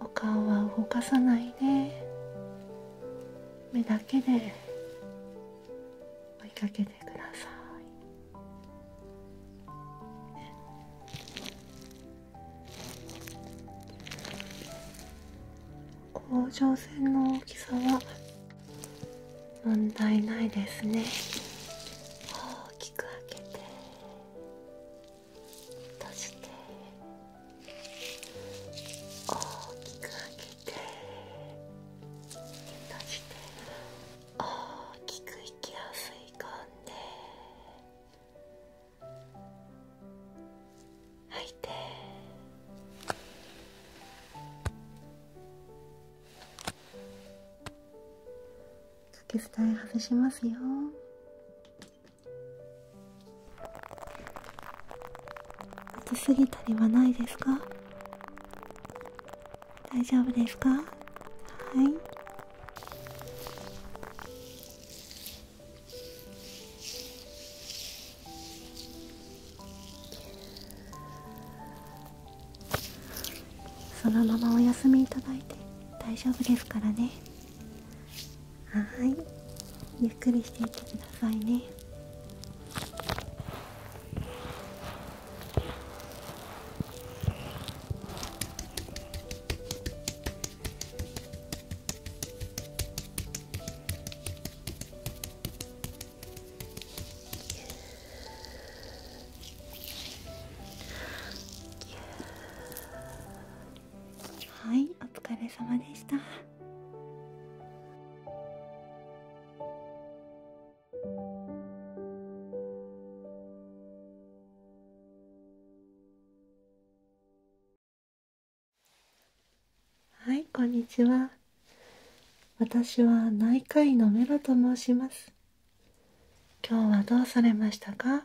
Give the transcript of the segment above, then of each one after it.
お顔は動かさないで目だけで追いかけてください。甲状腺の大きさは問題ないですね大きく開けて閉じて大きく開けて閉じて大きくきやすい込んではいてかけ伝え外しますよ暑すぎたりはないですか大丈夫ですかはいはそのままお休みいただいて大丈夫ですからねはいゆっくりしていってくださいねはいお疲れ様でしたはいこんにちは私は内科医のメロと申します今日はどうされましたか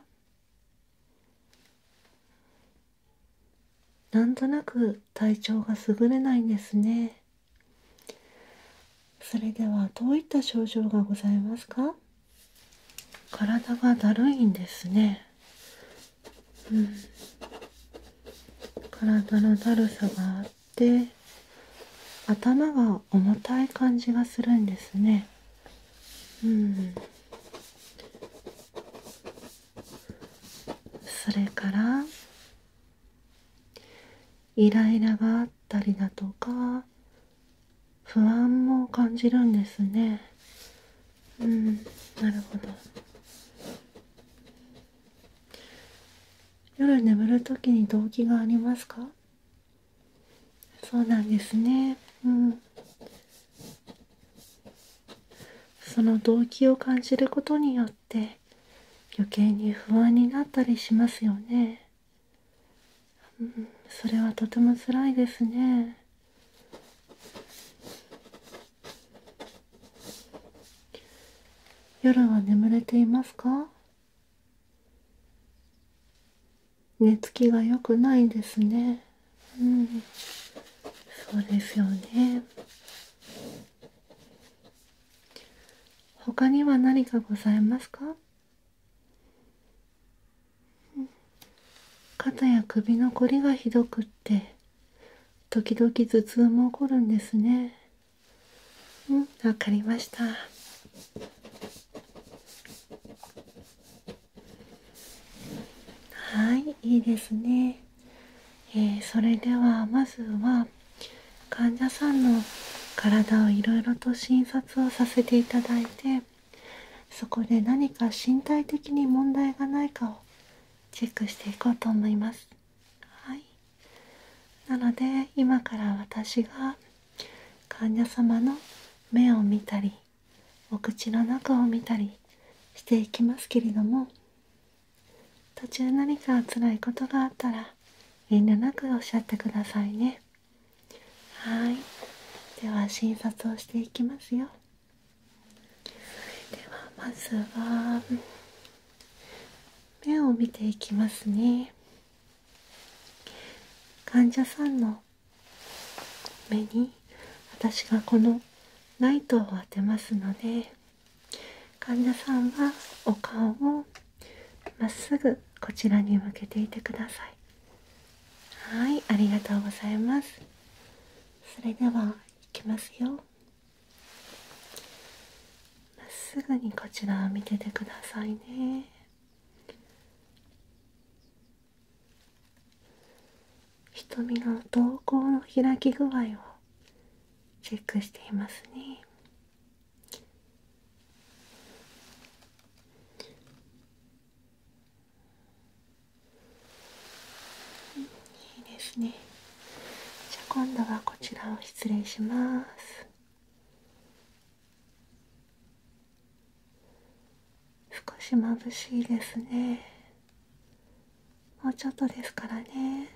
なんとなく体調が優れないんですねそれではどういった症状がございますか体がだるいんですねうん体のだるさがあって頭が重たい感じがするんですねうんそれからイライラがあったりだとか不安も感じるんですねうんなるほど夜眠る時に動機がありますかそうなんですねうんその動機を感じることによって余計に不安になったりしますよねうん、それはとても辛いですね夜は眠れていますか寝つきが良くないですねうんそうですよね他には何かございますか肩や首のこりがひどくって時々頭痛も起こるんですねうんわかりましたはいいいですねえー、それではまずは患者さんの体をいろいろと診察をさせていただいてそこで何か身体的に問題がないかをチェックしていこうと思いますはいなので今から私が患者様の目を見たりお口の中を見たりしていきますけれども途中何か辛いことがあったら遠慮なくおっしゃってくださいねはいでは診察をしていきますよではまずは目を見ていきますね患者さんの目に私がこのライトを当てますので患者さんはお顔をまっすぐこちらに向けていてくださいはいありがとうございますそれではいきますよまっすぐにこちらを見ててくださいね瞳の瞳孔の開き具合をチェックしていますねいいですねじゃあ今度はこちらを失礼します少し眩しいですねもうちょっとですからね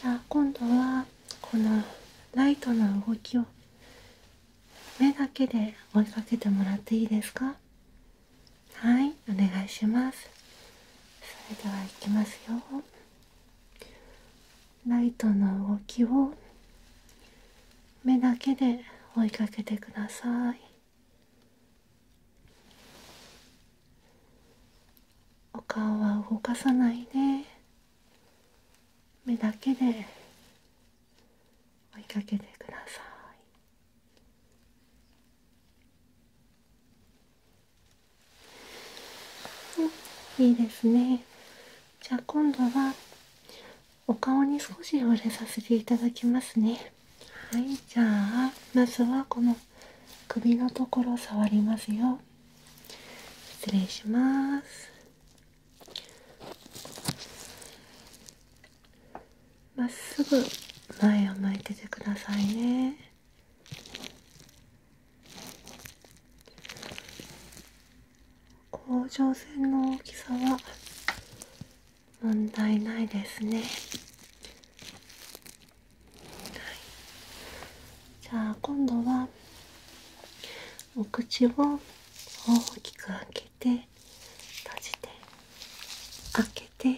じゃあ今度はこのライトの動き目だけで追いかけてもらっていいですかはいお願いしますそれではいきますよライトの動きを目だけで追いかけてくださいお顔は動かさないで目だけで追いかけてください。いいですね。じゃあ今度はお顔に少し触れさせていただきますね。はい、じゃあまずはこの首のところ触りますよ。失礼しますまっすぐ前を向いててくださいね甲状腺の大きさは問題ないですね、じゃあ今度はお口を大きく開けて閉じて開けて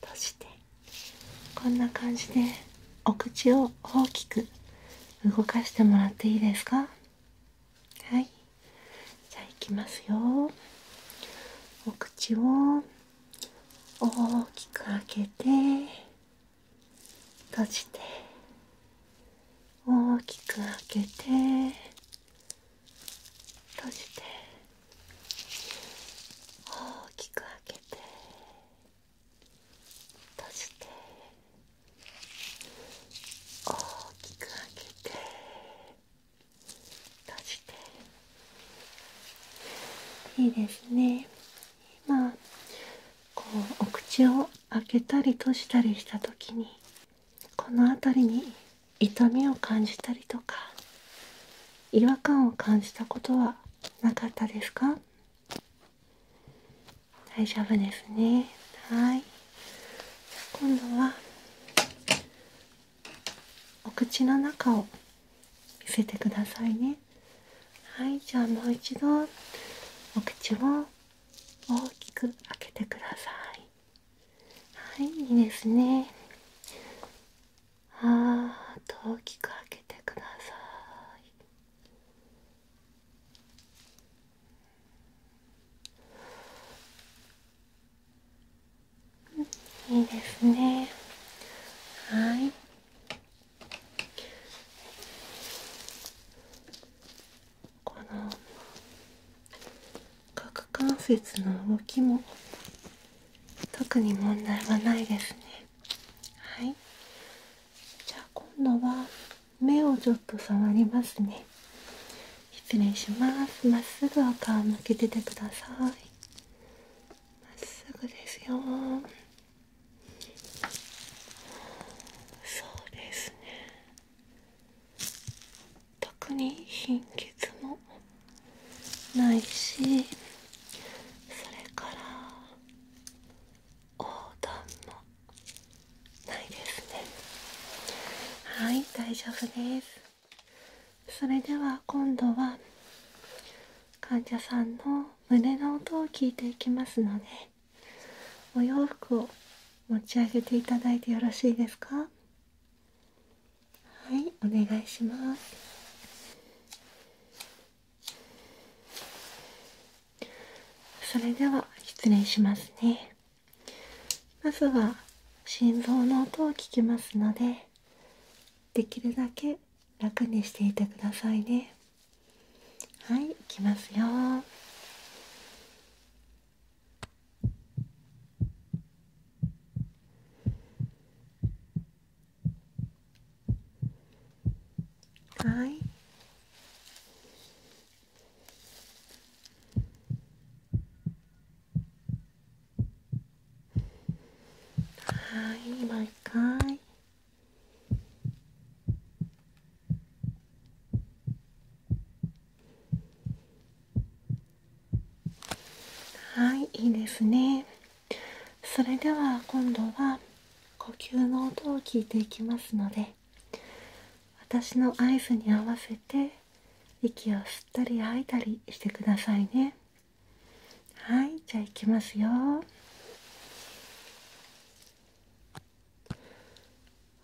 閉じてこんな感じでお口を大きく動かしてもらっていいですかはいじゃあいきますよお口を大きく開けて閉じて大きく開けて閉じて大きく開けて閉じて大きく開けて閉じていいですね今こうお口を開けたり閉じたりした時にこの辺りに痛みを感じたりとか違和感を感じたことはなかったですか大丈夫ですねはい今度はお口の中を見せてくださいねはいじゃあもう一度お口を大きく開けてくださいはいいいですねあーっと大きく開けてくださいいいですねはいこの角関節の動きも特に問題はないですねはいじゃあ今度は目をちょっと触りますね失礼しますまっすぐお顔向けててくださいまっすぐですよそうですね特に貧血もないしそれから横断もないですねはい大丈夫ですそれでは今度は患者さんの胸の音を聞いていきますのでお洋服を持ち上げていただいてよろしいですかはいお願いしますそれでは失礼しますねまずは心臓の音を聞きますのでできるだけ楽にしていてくださいねはいいきますよはいはい今回はいいいですねそれでは今度は呼吸の音を聞いていきますので私の合図に合わせて息を吸ったり吐いたりしてくださいねはいじゃあいきますよ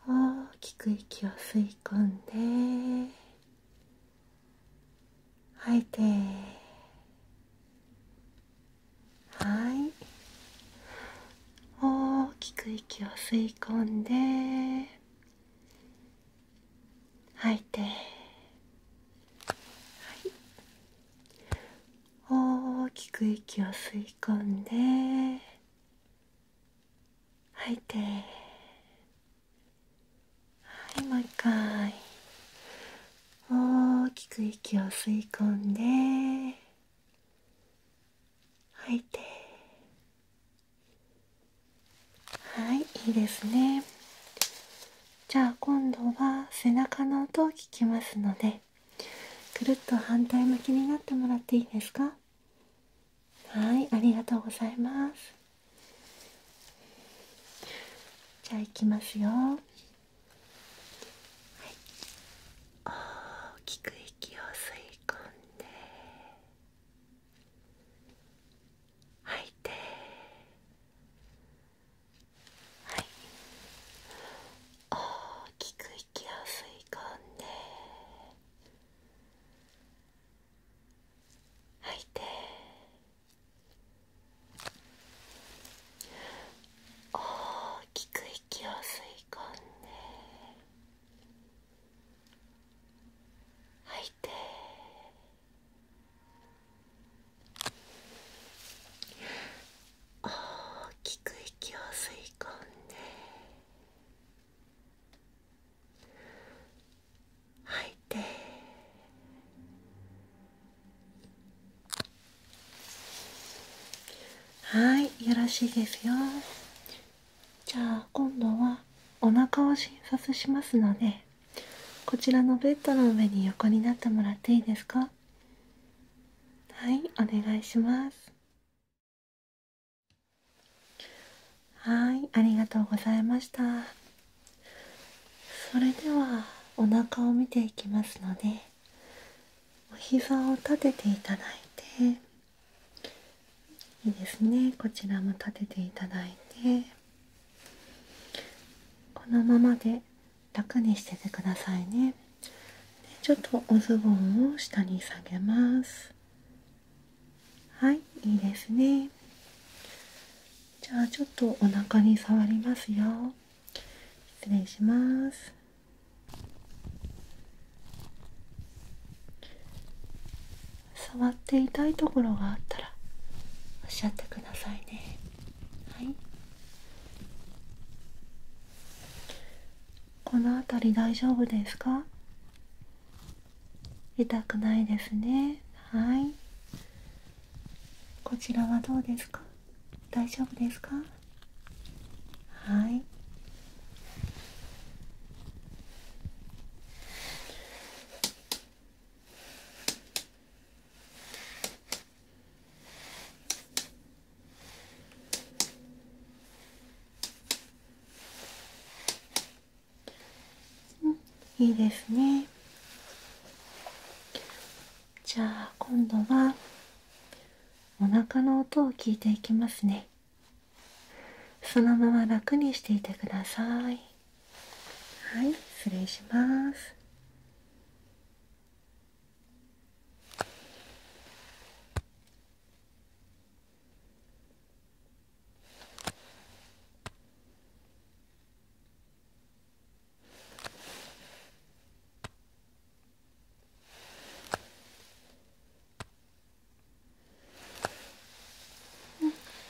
大きく息を吸い込んで吐いてはい大きく息を吸い込んで吐いて、はい、大きく息を吸いきんで吐いてはいもう一回大きく息を吸い込んで吐いてはいいいですねじゃあ今度は背中の音を聞きますのでくるっと反対向きになってもらっていいですかはいありがとうございますじゃあいきますよ、大きく息を吸い込んではい大きく息を吸い込んで吐いて大きく息を吸い込んで吐いて大きく息を吸い込んで吐いてはいよろしいですよじゃあ今度はお腹を診察しますのでこちらのベッドの上に横になってもらっていいですかはいお願いしますはいありがとうございましたそれではお腹を見ていきますのでお膝を立てていただいていいですねこちらも立てていただいてこのままで楽にしててくださいねちょっとおズボンを下に下げますはいいいですねじゃあちょっとお腹に触りますよ失礼します触って痛いところがあったらおっしゃってくださいねはいこの辺り大丈夫ですか痛くないですねはいこちらはどうですか大丈夫ですかはいうん、いいですねじゃあ今度はお腹の音を聞いていきますねそのまま楽にしていてくださいはい失礼します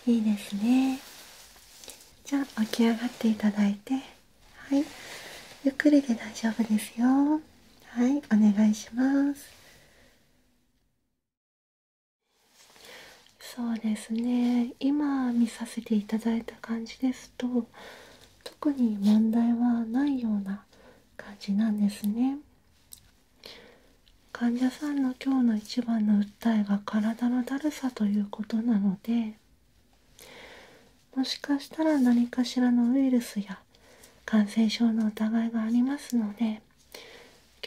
うん、いいですねじゃあ起き上がっていただいて。はい、ゆっくりで大丈夫ですよはい、お願いしますそうですね、今見させていただいた感じですと特に問題はないような感じなんですね患者さんの今日の一番の訴えが体のだるさということなのでもしかしたら何かしらのウイルスや感染症の疑いがありますので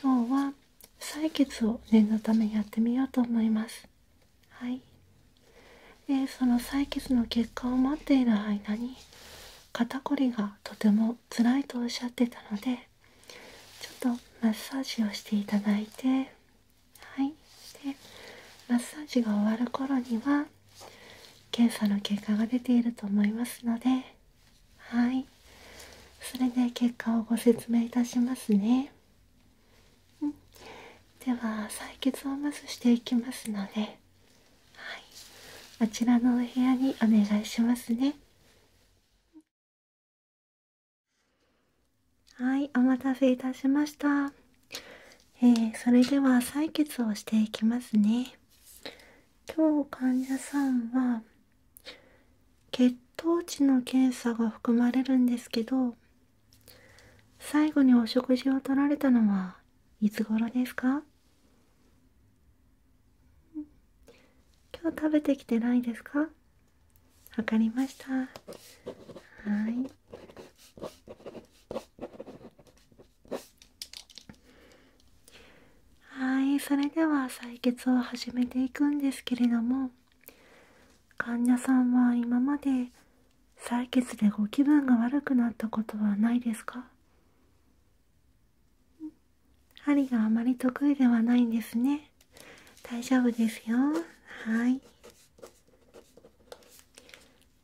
今日は採血を念のためにやってみようと思いますはいでその採血の結果を待っている間に肩こりがとても辛いとおっしゃってたのでちょっとマッサージをしていただいてはいでマッサージが終わる頃には検査の結果が出ていると思いますのではいそれで結果をご説明いたしますね、では採血をまずしていきますので、あちらのお部屋にお願いしますねはいお待たせいたしましたえそれでは採血をしていきますね今日患者さんは血糖値の検査が含まれるんですけど最後にお食事をとられたのはいつ頃ですか今日食べてきてないですかわかりましたはいはいそれでは採血を始めていくんですけれども患者さんは今まで採血でご気分が悪くなったことはないですか針があまり得意ではないんですね大丈夫ですよはい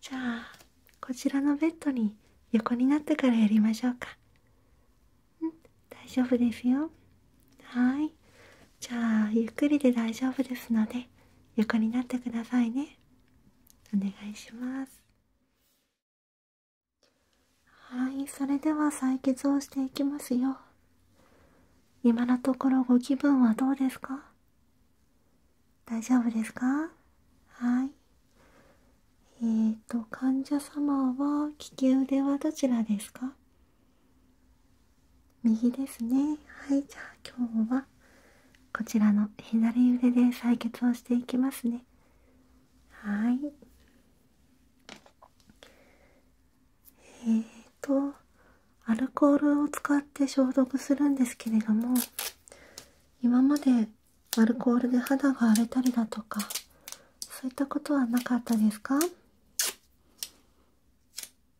じゃあこちらのベッドに横になってからやりましょうかん大丈夫ですよはいじゃあゆっくりで大丈夫ですので横になってくださいねお願いしますはいそれでは採血をしていきますよ今のところご気分はどうですか大丈夫ですかはい。えーと、患者様は利き腕はどちらですか右ですね。はい、じゃあ今日はこちらの左腕で採血をしていきますね。はい。えーと、アルコールを使って消毒するんですけれども、今までアルコールで肌が荒れたりだとかそういったことはなかったですか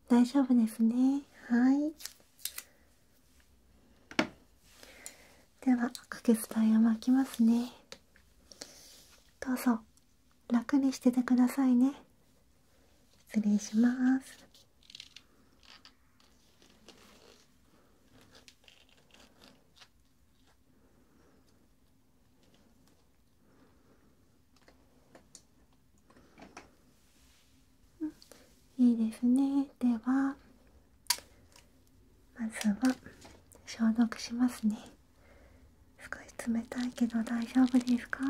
大丈夫ですねはいではかけつタイを巻きますねどうぞ楽にしててくださいね失礼しますうん、いいですねではまずは消毒しますね少し冷たいけど大丈夫ですか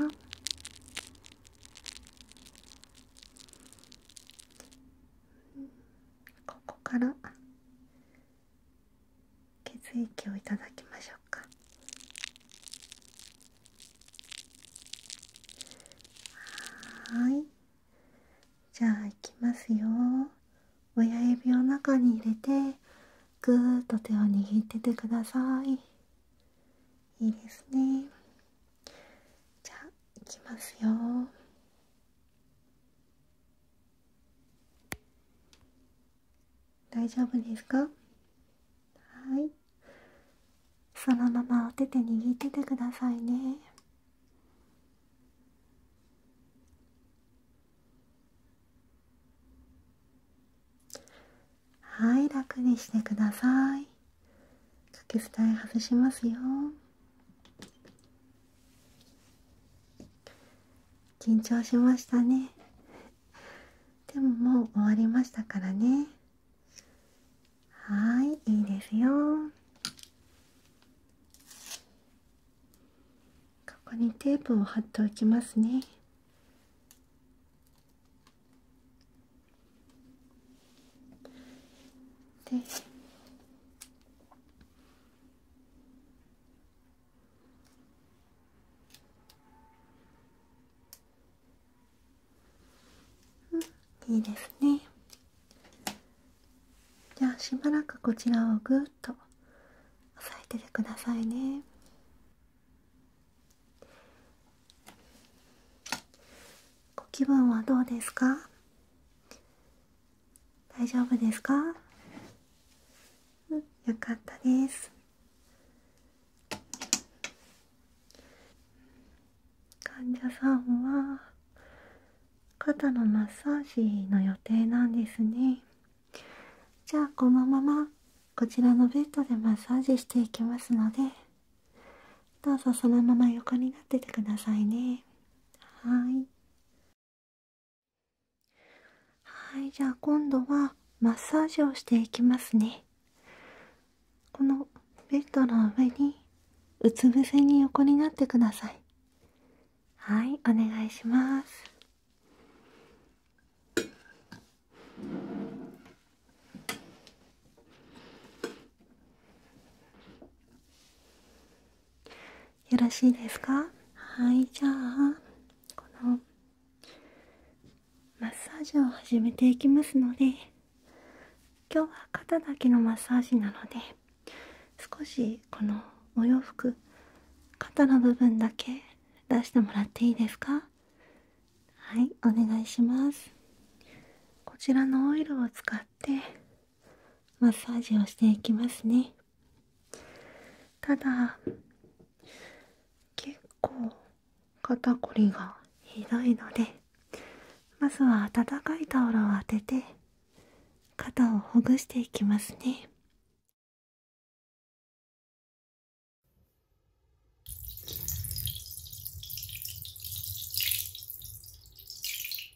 ここから血液をいただきましょうかはいじゃあいきますよ親指を中に入れてぐーっと手を握っててくださいいいですねじゃあいきますよ大丈夫ですかはいそのままお手で握っててくださいねはい楽にしてくださいかけスえ外しますよ緊張しましたねでももう終わりましたからねはいいいですよここにテープを貼っておきますねでういいですねじゃあしばらくこちらをぐっと押さえててくださいねご気分はどうですか大丈夫ですかよかったです患者さんは肩のマッサージの予定なんですねじゃあこのままこちらのベッドでマッサージしていきますのでどうぞそのまま横になっててくださいねはいはいじゃあ今度はマッサージをしていきますねこのベッドの上にうつ伏せに横になってくださいはいお願いしますよろしいですかはいじゃあこのマッサージを始めていきますので今日は肩だけのマッサージなので少しこのお洋服肩の部分だけ出してもらっていいですかはいお願いしますこちらのオイルを使ってマッサージをしていきますねただ結構肩こりがひどいのでまずは温かいタオルを当てて肩をほぐしていきますね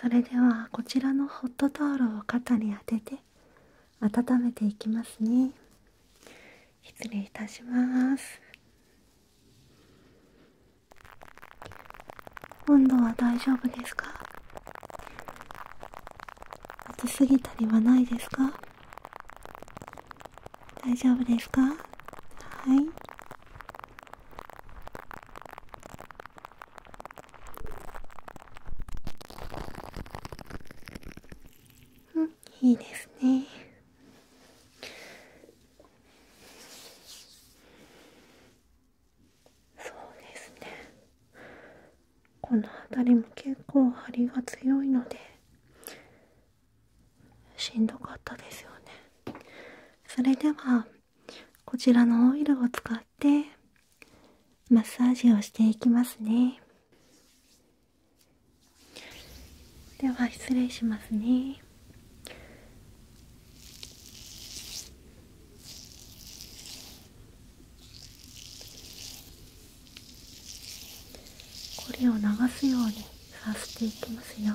それではこちらのホットタオルを肩に当てて温めていきますね失礼いたします温度は大丈夫ですか暑すぎたりはないですか大丈夫ですかはいうんいいですねそうですねこの辺りも結構張りが強いのでしんどかったですよねそれではこちらのオイルを使ってマッサージをしていきますねでは失礼しますねこれを流すようにさせていきますよ。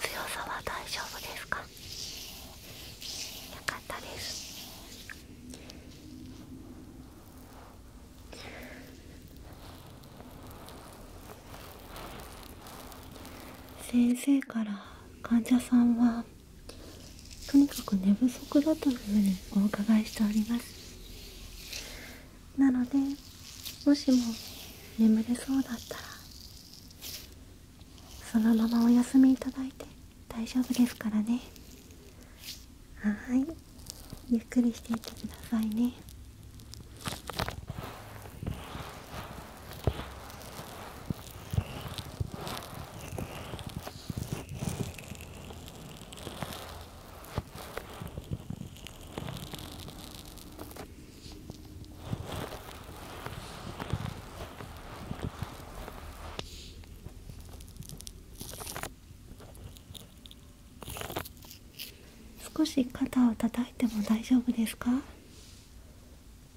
強さは大丈夫ですかよかったです先生から患者さんはとにかく寝不足だというふうにお伺いしておりますなのでもしも眠れそうだったらそのままお休みいただいて大丈夫ですからねはいゆっくりしていってくださいね少し肩を叩いても大丈夫ですか、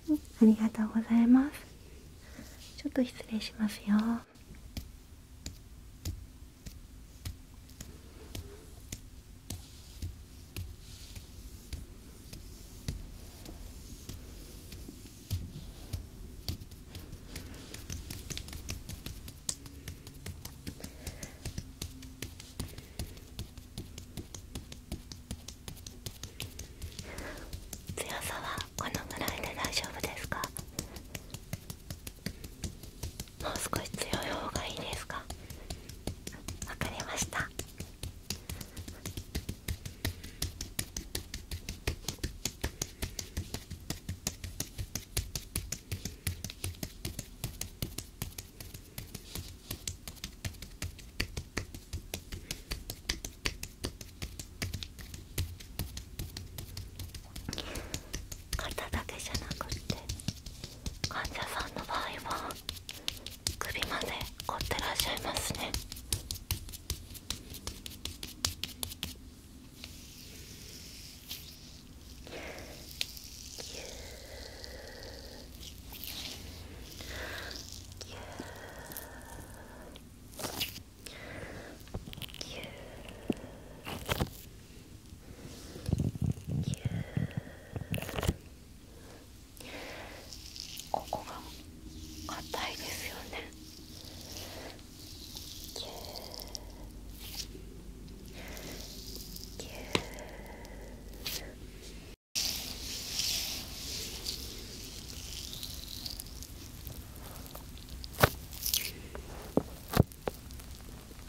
ありがとうございますちょっと失礼しますよ強さはこのぐらいで大丈夫ですかもう少し強い方がいいですかわかりましたな肩だけじゃなくって患者さんの場合は首まで凝ってらっしゃいますねゆーーゆーーゆーーゆーーここが硬いですよねぎゅーぎゅーこ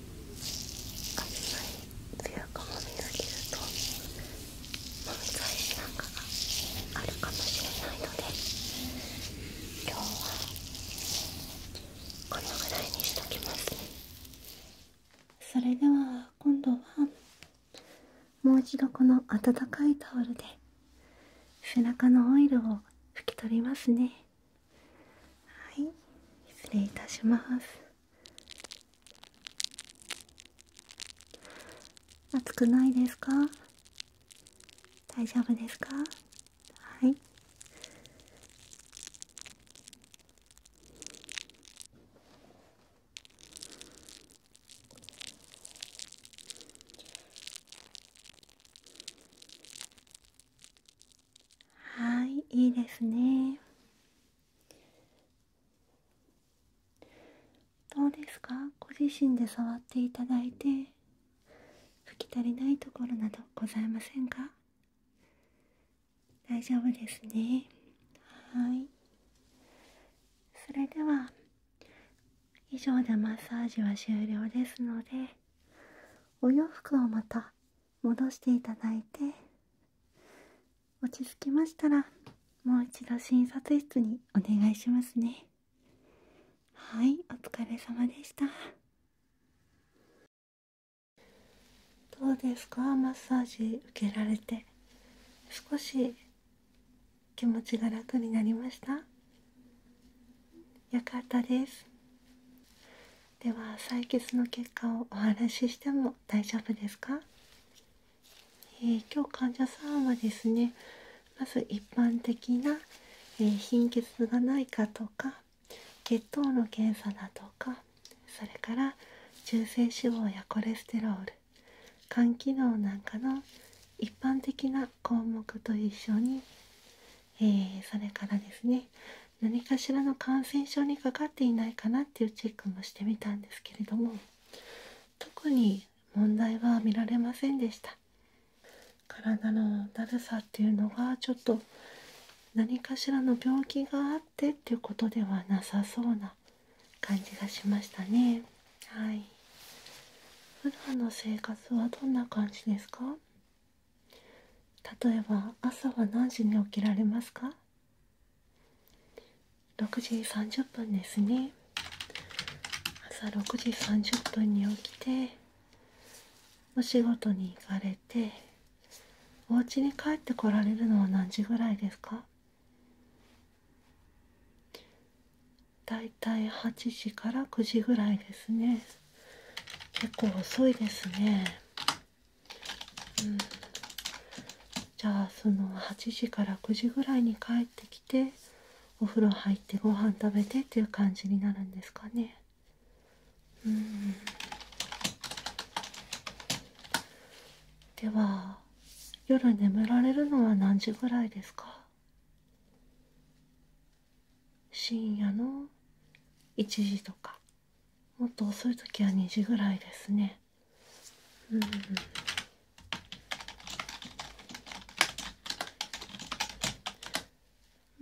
あんまり強くもみすぎるともみ返しなんかがあるかもしれないので今日はこのぐらいにしときますねそれでは今度はもう一度この温かいタオルで背中のオイルを拭き取りますねはい失礼いたします暑くないですか大丈夫ですかはいはいいいですねどうですかご自身で触っていただいて拭き足りないところなどございませんか大丈夫ですねはいそれでは以上でマッサージは終了ですのでお洋服をまた戻していただいて落ち着きましたらもう一度診察室にお願いしますねはいお疲れ様でしたどうですかマッサージ受けられて少し気持ちが楽になりましたよかったですでは採血の結果をお話ししても大丈夫ですか、え今日患者さんはですねまず一般的な、え貧血がないかとか血糖の検査だとかそれから中性脂肪やコレステロール肝機能なんかの一般的な項目と一緒に、えそれからですね何かしらの感染症にかかっていないかなっていうチェックもしてみたんですけれども特に問題は見られませんでした体のだるさっていうのがちょっと何かしらの病気があってっていうことではなさそうな感じがしましたねはい普段の生活はどんな感じですか例えば朝は何時に起きられますか6時30分ですね朝6時30分に起きてお仕事に行かれてお家に帰ってこられるのは何時ぐらいですかだいたい8時から9時ぐらいですね結構遅いですねうん、じゃあその8時から9時ぐらいに帰ってきてお風呂入ってご飯食べてっていう感じになるんですかねうんでは夜眠られるのは何時ぐらいですか深夜の1時とかもっと遅い時は2時ぐらいですねうん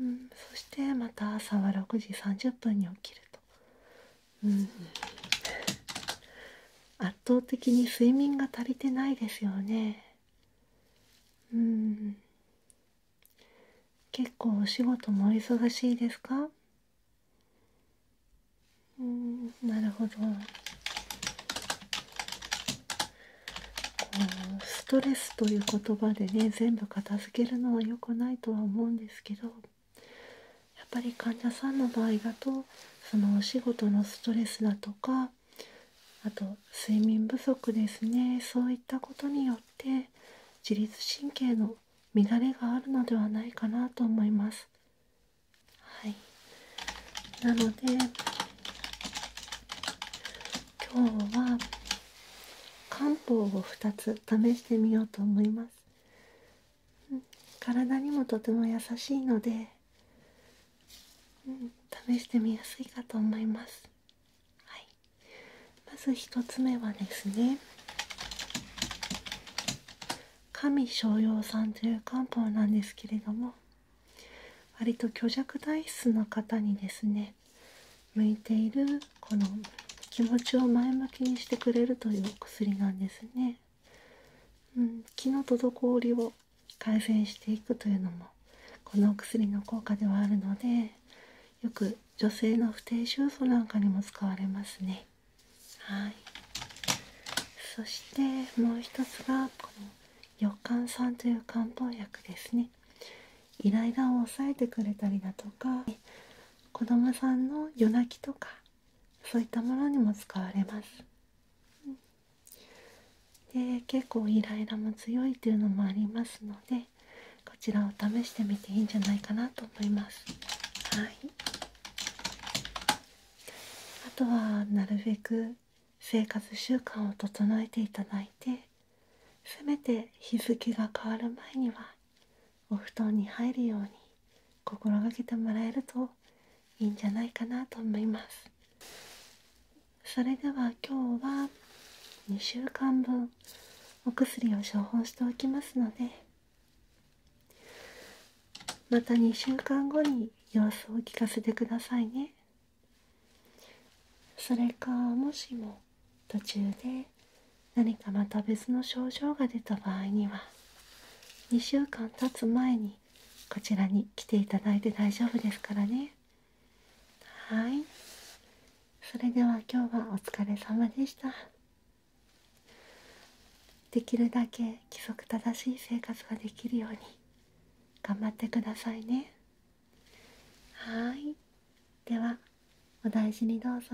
うん、そしてまた朝は6時30分に起きると、うん、圧倒的に睡眠が足りてないですよねうん結構お仕事もお忙しいですかうんなるほどこうストレスという言葉でね全部片付けるのは良くないとは思うんですけどやっぱり患者さんの場合だとそのお仕事のストレスだとかあと睡眠不足ですねそういったことによって自律神経のの乱れがあるのではないかなと思います。はい、なので今日は漢方を2つ試してみようと思います。体にもとても優しいので、うん、試してみやすいかと思います。はい、まず1つ目はですね神逍遥さんという漢方なんですけれども割と虚弱体質の方にですね向いているこの気持ちを前向きにしてくれるというお薬なんですね。うん、気の滞りを改善していくというのもこのお薬の効果ではあるのでよく女性の不定収素なんかにも使われますね。はいそしてもう一つがこの予感さんという漢方薬ですねイライラを抑えてくれたりだとか子供さんの夜泣きとかそういったものにも使われますで結構イライラも強いというのもありますのでこちらを試してみていいんじゃないかなと思いますはいあとはなるべく生活習慣を整えていただいてせめて日付が変わる前にはお布団に入るように心がけてもらえるといいんじゃないかなと思いますそれでは今日は2週間分お薬を処方しておきますのでまた2週間後に様子を聞かせてくださいねそれかもしも途中で何かまた別の症状が出た場合には2週間経つ前にこちらに来ていただいて大丈夫ですからねはいそれでは今日はお疲れ様でしたできるだけ規則正しい生活ができるように頑張ってくださいねはいではお大事にどうぞ。